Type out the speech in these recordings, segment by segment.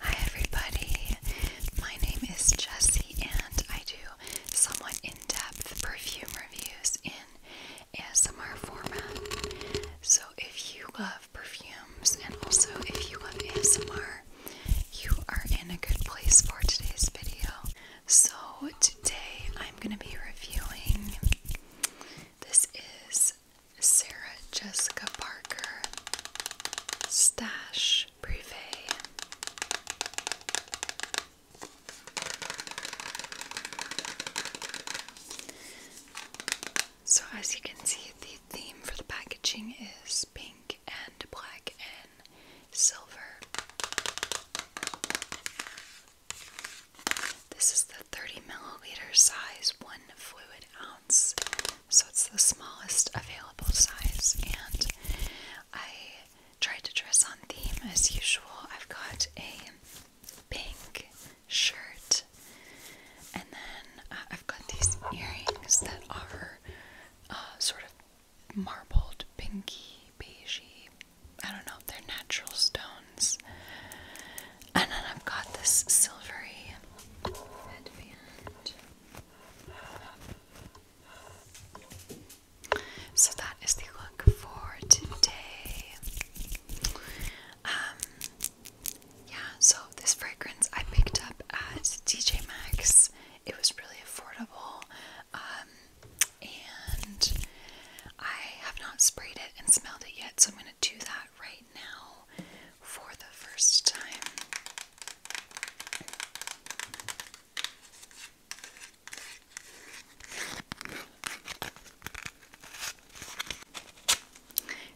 Hi everybody, my name is Jessie and I do somewhat in-depth perfume reviews in ASMR format. So if you love perfumes and also if you love ASMR, you are in a good place for today's video. So today I'm going to be reviewing, this is Sarah Jessica Parker, Stash Privé. So, as you can see, the theme for the packaging is pink and black and silver. This is the 30 milliliter size, one fluid ounce. So it's the smallest available size, and I tried to dress on theme as usual. I've got a pink shirt, and then uh, I've got these earrings that are uh, sort of marbled, pinky, beige. I don't know, they're natural stones. And then I've got this silvery headband. So that is the look for today. Um, yeah, so this fragrance I picked up at DJ Maxx. It was really affordable, um, and I have not sprayed it and smelled it yet, so I'm going to do that right now for the first time.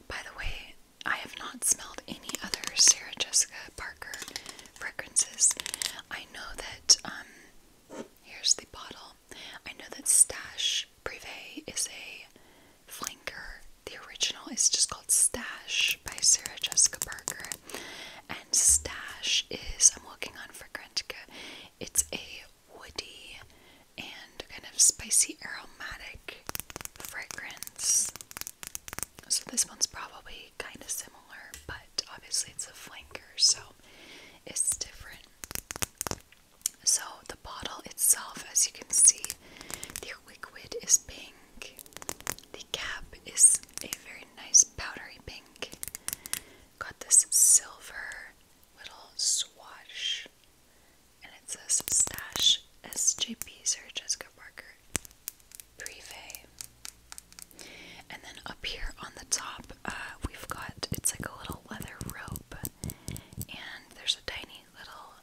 By the way, I have not smelled any other Sarah Jessica Parker fragrances. I know that, um, here's the bottle. I know that Stash Privé is a flanker. The original is just called Stash by Sarah Jessica Parker. And Stash is, I'm looking on for Grantica, it's a woody and kind of spicy aromatic fragrance. So this one's probably kind of similar, but obviously it's a flanker, so it's different. So the bottle itself, as you can see, the liquid is pink. The cap is a very nice powdery pink. Got this silver little swash, and it says Stash SJP Sir Jessica Parker Privé. And then up here on the top, uh, we've got it's like a little leather rope, and there's a tiny little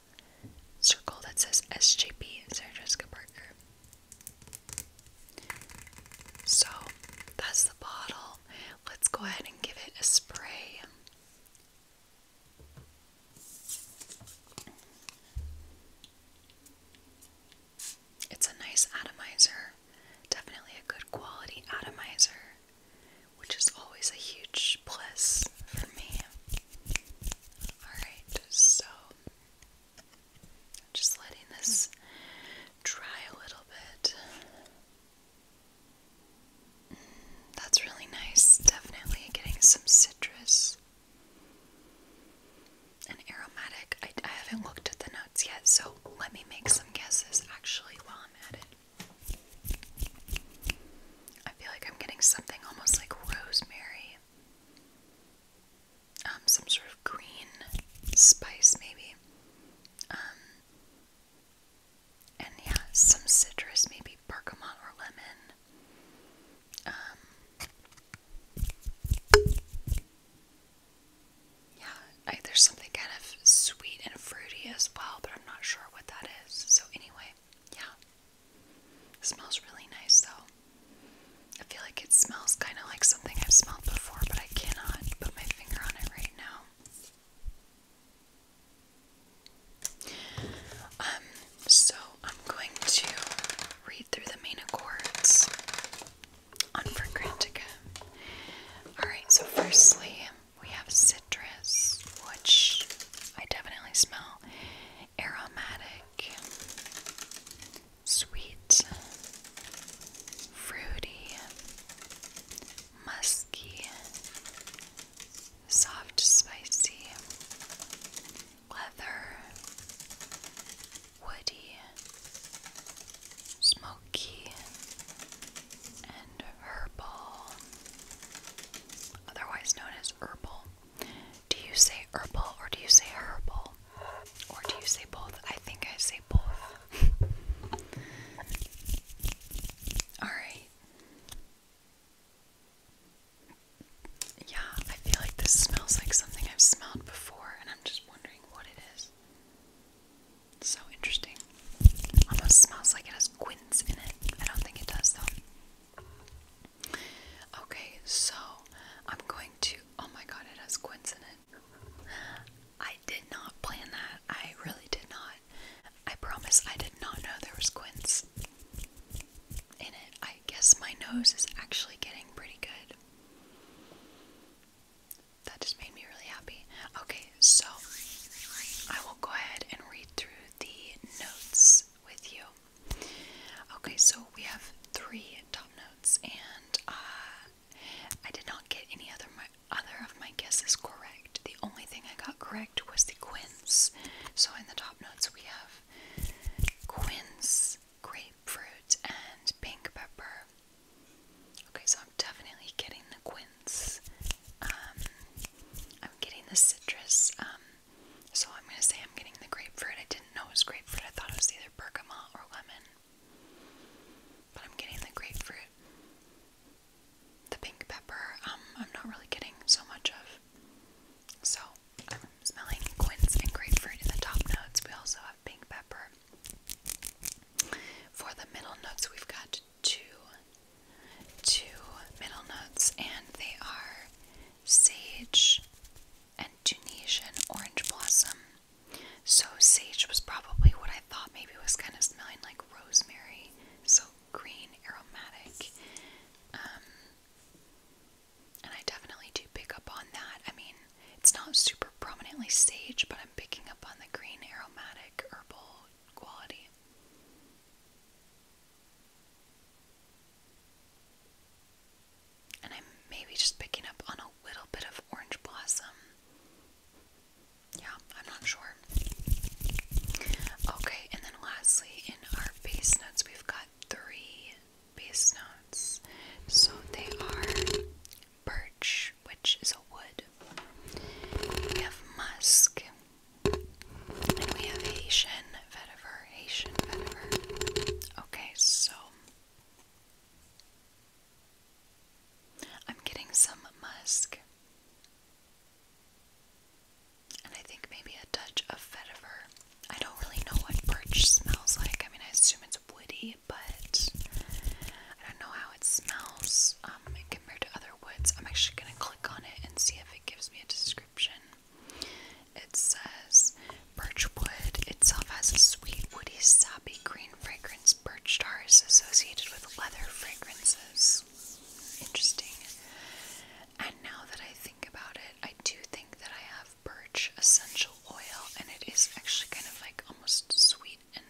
circle that says SJP and Sarah Jessica Parker. So that's the bottle. Let's go ahead and give it a spray. It's a nice atomizer, definitely a good quality atomizer which is always a huge plus for me. Alright, so just letting this dry a little bit. Mm, that's really nice. Definitely getting some citrus and aromatic. I haven't looked at the notes yet, so let me make some guesses actually while I'm at it. I feel like I'm getting something almost like rosemary. Um, some sort of green spice, maybe. Um, and yeah, some citrus, maybe bergamot or lemon. Um, yeah, there's something kind of sweet and fruity as well, but I'm not sure what that is. So, anyway, yeah. It smells really nice though. I feel like it smells kind of like something I've smelled before, but I cannot put my finger on it right now. Um, so I'm going to read through the main accords on Fragrantica. Alright, so firstly, we have citrus, which I definitely smell, aromatic, sweet, fruity, musky, soft, spicy, leather, woody, smoky, and herbal, otherwise known as herbal. Do you say herbal or do you say herbal? Or do you say both? I think I say both. Alright. Yeah, I feel like this smells like something I've smelled before, and I'm just wondering what it is. so interesting. Almost smells like it has quince in it. I don't think it does, though. Okay, so I'm going to. Oh my god, it has quince in it. I did not plan that. I really did not. I promise I did not know there was quince in it. I guess my nose is actually getting pretty good. That just made me really happy. Okay, so I will go ahead and read through the notes with you. Okay, so we have three top notes, and uh, I did not get any other other of my guesses correct. The only thing I got correct was the quince. So in the top notes we have quince, grapefruit, and pink pepper. Okay, so I'm definitely getting the quince. Um, I'm getting the citrus. Um, so I'm gonna say I'm getting the grapefruit. I didn't know it was grapefruit. I thought it was either bergamot or lemon. But I'm getting the grapefruit. The pink pepper, um, I'm not really getting so much of. So I'm smelling quince and grapefruit in the top notes. We also have pink pepper. For the middle notes, we've got two two middle notes and they are sage and Tunisian orange blossom. So sage was probably what I thought maybe was kind of smelling like rosemary. So green, aromatic. Um and I definitely do pick up on that. I mean, it's not super prominently sage, but I'm picking up on the green aromatic herbal quality. And I'm maybe just picking up on a little bit of orange blossom. Yeah, I'm not sure. Okay, and then lastly, in our base notes, we've got three base notes. So they are birch, which is a wood, we have musk, we have Haitian vetiver, Haitian vetiver. Okay, so I'm getting some musk. And I think maybe a touch of vetiver. I don't really know what birch smells like. I mean, I assume it's woody, but I don't know how it smells um, compared to other I'm actually going to click on it and see if it gives me a description. It says Birchwood itself has a sweet, woody, sappy green fragrance. Birch tar is associated with leather fragrances. Interesting. And now that I think about it, I do think that I have birch essential oil, and it is actually kind of like almost sweet and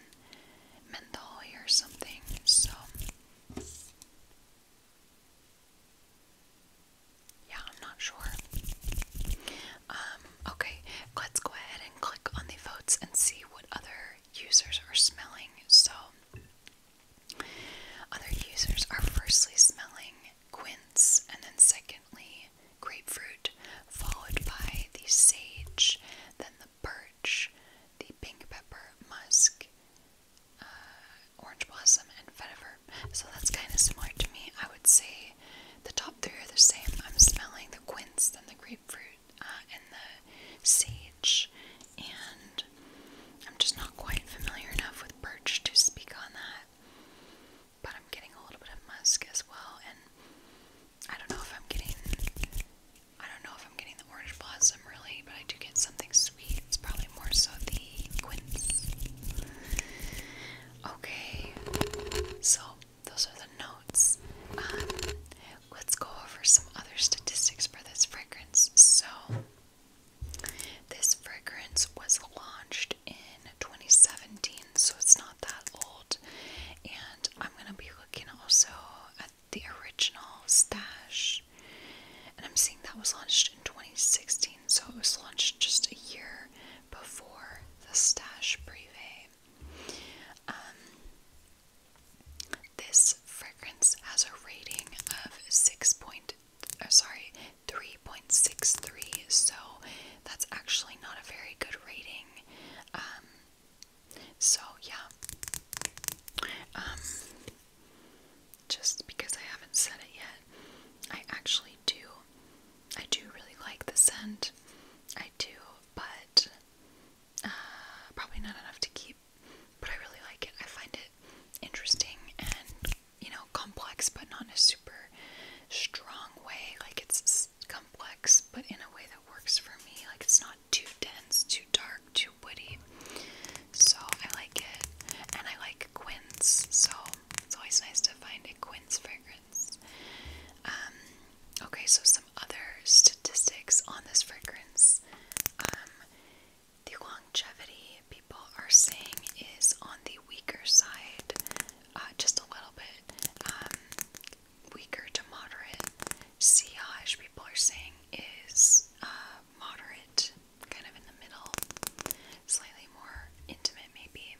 menthol or something. So yeah, I'm not sure. Um, okay, let's go ahead and click on the votes and see what other users are smelling. So, other users are firstly smelling quince, and then secondly, grapefruit, followed by the sage, then the birch, the pink pepper, musk, uh, orange blossom, and vetiver. So that's kind of similar to me. I would say the top three are the same. I'm smelling the quince, and the grapefruit, uh, and the sage, and I'm just not quite familiar enough with birch to speak on that. But I'm getting a little bit of musk as well, and I don't know if I'm getting I don't know if I'm getting the orange blossom really, but I do get something sweet. It's probably more so the quince. Okay, so those are the notes. Um, let's go over some other statistics for this fragrance. So, this fragrance was launched in 2017, so it's not that old. And I'm gonna be looking also at the original stash, and I'm seeing that was launched in 2016, so it was launched just a year before the stash privé. Um, this fragrance has a rating of six point, oh, sorry, 3.63, so that's actually not a very good rating. Um, so yeah. Um, just because I haven't said it yet, I actually do I do really like the scent. I do, but uh, probably not enough to keep. But I really like it. I find it interesting and you know, complex but not in a super strong way. Like it's complex but in a way that works for me. Like it's not too dense, too dark, too woody. So I like it. And I like quince, so it's always nice to find a quince fragrance. Um, okay, so some other statistics on this fragrance. Um, the longevity people are saying is on the weaker side, uh, just a little bit, um, weaker to moderate. Sillage, people are saying, is uh, moderate, kind of in the middle, slightly more intimate, maybe.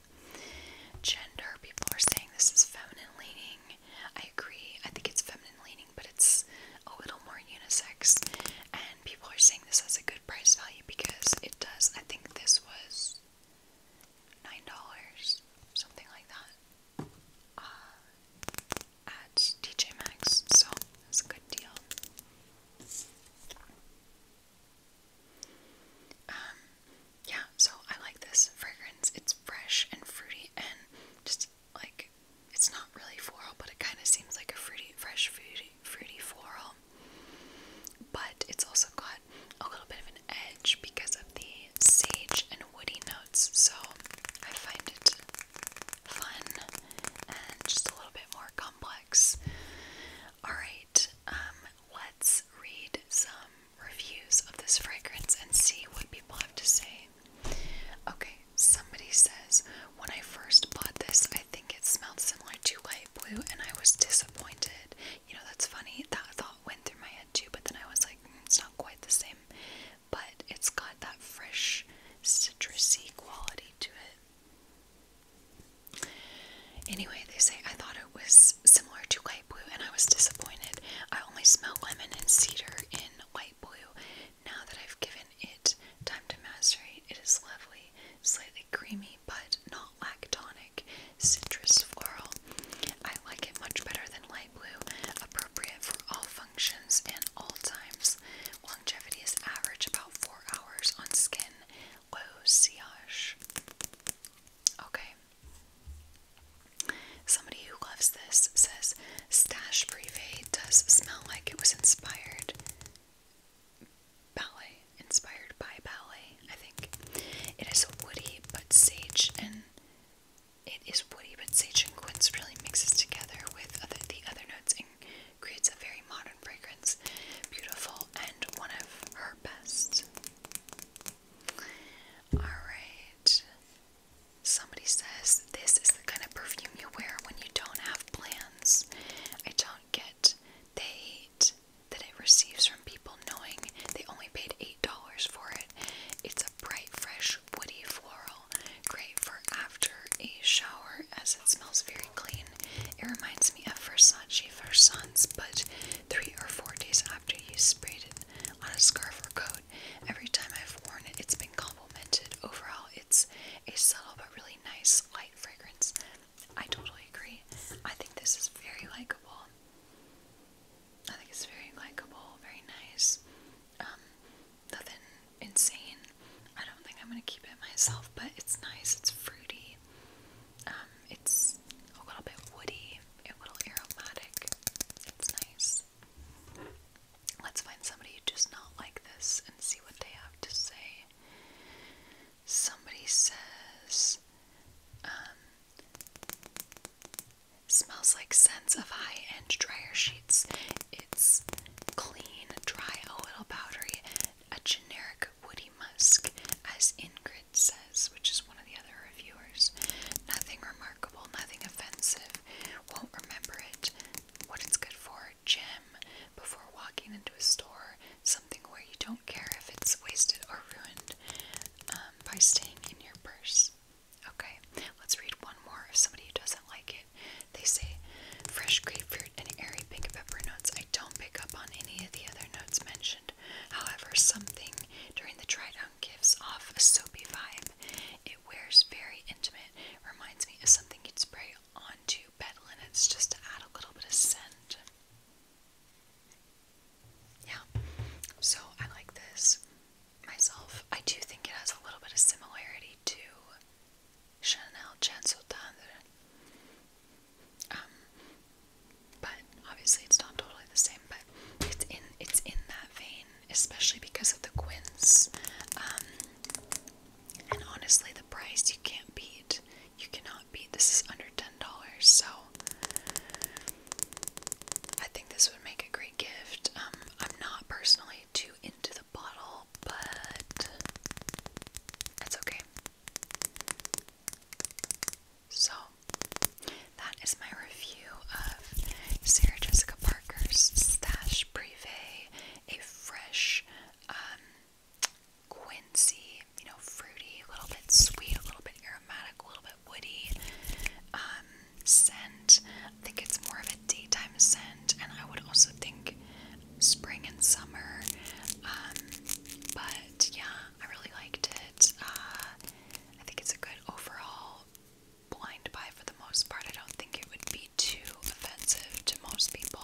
Gender, people are saying this is feminine leaning. I agree, I think it's feminine leaning, but it's a little more unisex. And people are saying this has a good price value because it does. I think this was $9, something like that. Uh, at TJ Maxx, so it's a good deal. Um, yeah, so I like this fragrance. It's fresh and fruity and just like it's not really floral, but it kind of seems like a fruity, fresh, fruity, fruity floral. But it's also got a little bit of an edge because of the sage and woody notes, so I find it fun and just a little bit more complex. Alright, um, let's read some reviews of this fragrance and see what people have to say. Okay, somebody says, when I first bought this, I think it smelled similar to light blue and I was disappointed. You know, that's funny. That thought went through my head too, but then I was like, hmm, it's not quite the same but it's got that fresh citrusy quality to it. Anyway, they say I thought it was similar to light blue and I was disappointed. I only smelled lemon and cedar in light blue. Now that I've given it time to macerate, it is lovely, slightly creamy but not lactonic, citrus floral. I like it much better than light blue, appropriate for all functions and all times. Longevity is average about 4 hours on skin. Low Okay. Somebody who loves this says Stash Privé does smell like it was inspired ballet, inspired by ballet, I think. It is woody but sage and it is woody, but sage and quince really mixes together with other, the other notes and creates a very modern fragrance. Beautiful and one of her best. Alright. Somebody says this is the kind of perfume you wear when you don't have plans. I don't get the hate that it receives from people knowing they only paid $8 for it. It's a bright, fresh, woody floral. Great for after a shower as it smells very clean. It reminds me of Versace Versance, but three or four days after you sprayed it on a scarf or coat. Every time I've worn it, it's been complimented. Overall, it's a subtle but really nice light fragrance. I totally agree. I think this is very likable. I think it's very likable, very nice. Um, nothing insane. I don't think I'm gonna keep it myself, but it's nice. It's fruity. Um, it's a little bit woody, a little aromatic. It's nice. Let's find somebody who does not like this and see what they have to say. Somebody says, um, Smells like scents of high-end dryer sheets. It's clean, dry, a little powdery, a generic woody musk, as Ingrid says, which is one of the other reviewers. Nothing remarkable, nothing offensive. Won't remember it. What it's good for, Gym. Before walking into a store, something where you don't care if it's wasted or ruined um, by staying in your purse. Okay, let's read one more if somebody doesn't like it. They say fresh grapefruit and airy pink pepper notes. I don't pick up on any of the other notes mentioned. However, something during the try down gives off a soapy vibe. It wears very intimate, reminds me of something you'd spray onto bed linen. It's just to add a little bit of scent. Yeah, so I like this myself. I do think it has a little bit of similarity to Chanel Chanson Tendre. Um, but obviously it's not totally the same, but it's in it's in that vein, especially because of the Quince. Um, and honestly, the price you can't beat. You cannot beat. This is under ten dollars, so I think this would make a great gift. Um, I'm not personally too into the bottle, but that's okay. So, that is my review of Sarah Jessica Parker's Stash Privé, a fresh um, quincy, you know, fruity, a little bit sweet, a little bit aromatic, a little bit woody um, scent. I think it's more of a daytime scent, and I would also think spring and summer. Um, but yeah, I really liked it. Uh, I think it's a good overall blind buy for the most part. I don't think it would be too offensive to most people,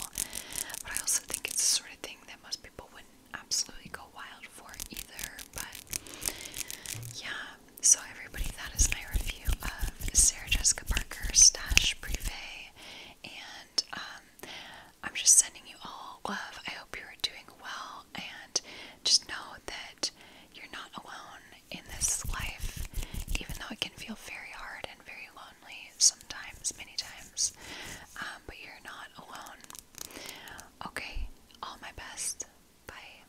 but I also think it's the sort of thing that most people wouldn't absolutely go wild for either. But yeah, so everybody, that is my review of Sarah Jessica Parker Stash Privé, and um, I'm just sending you all love. I hope you're doing well, and just know that you're not alone in this life, even though it can feel very hard and very lonely sometimes, many times. Um, but you're not alone. Okay, all my best. Bye.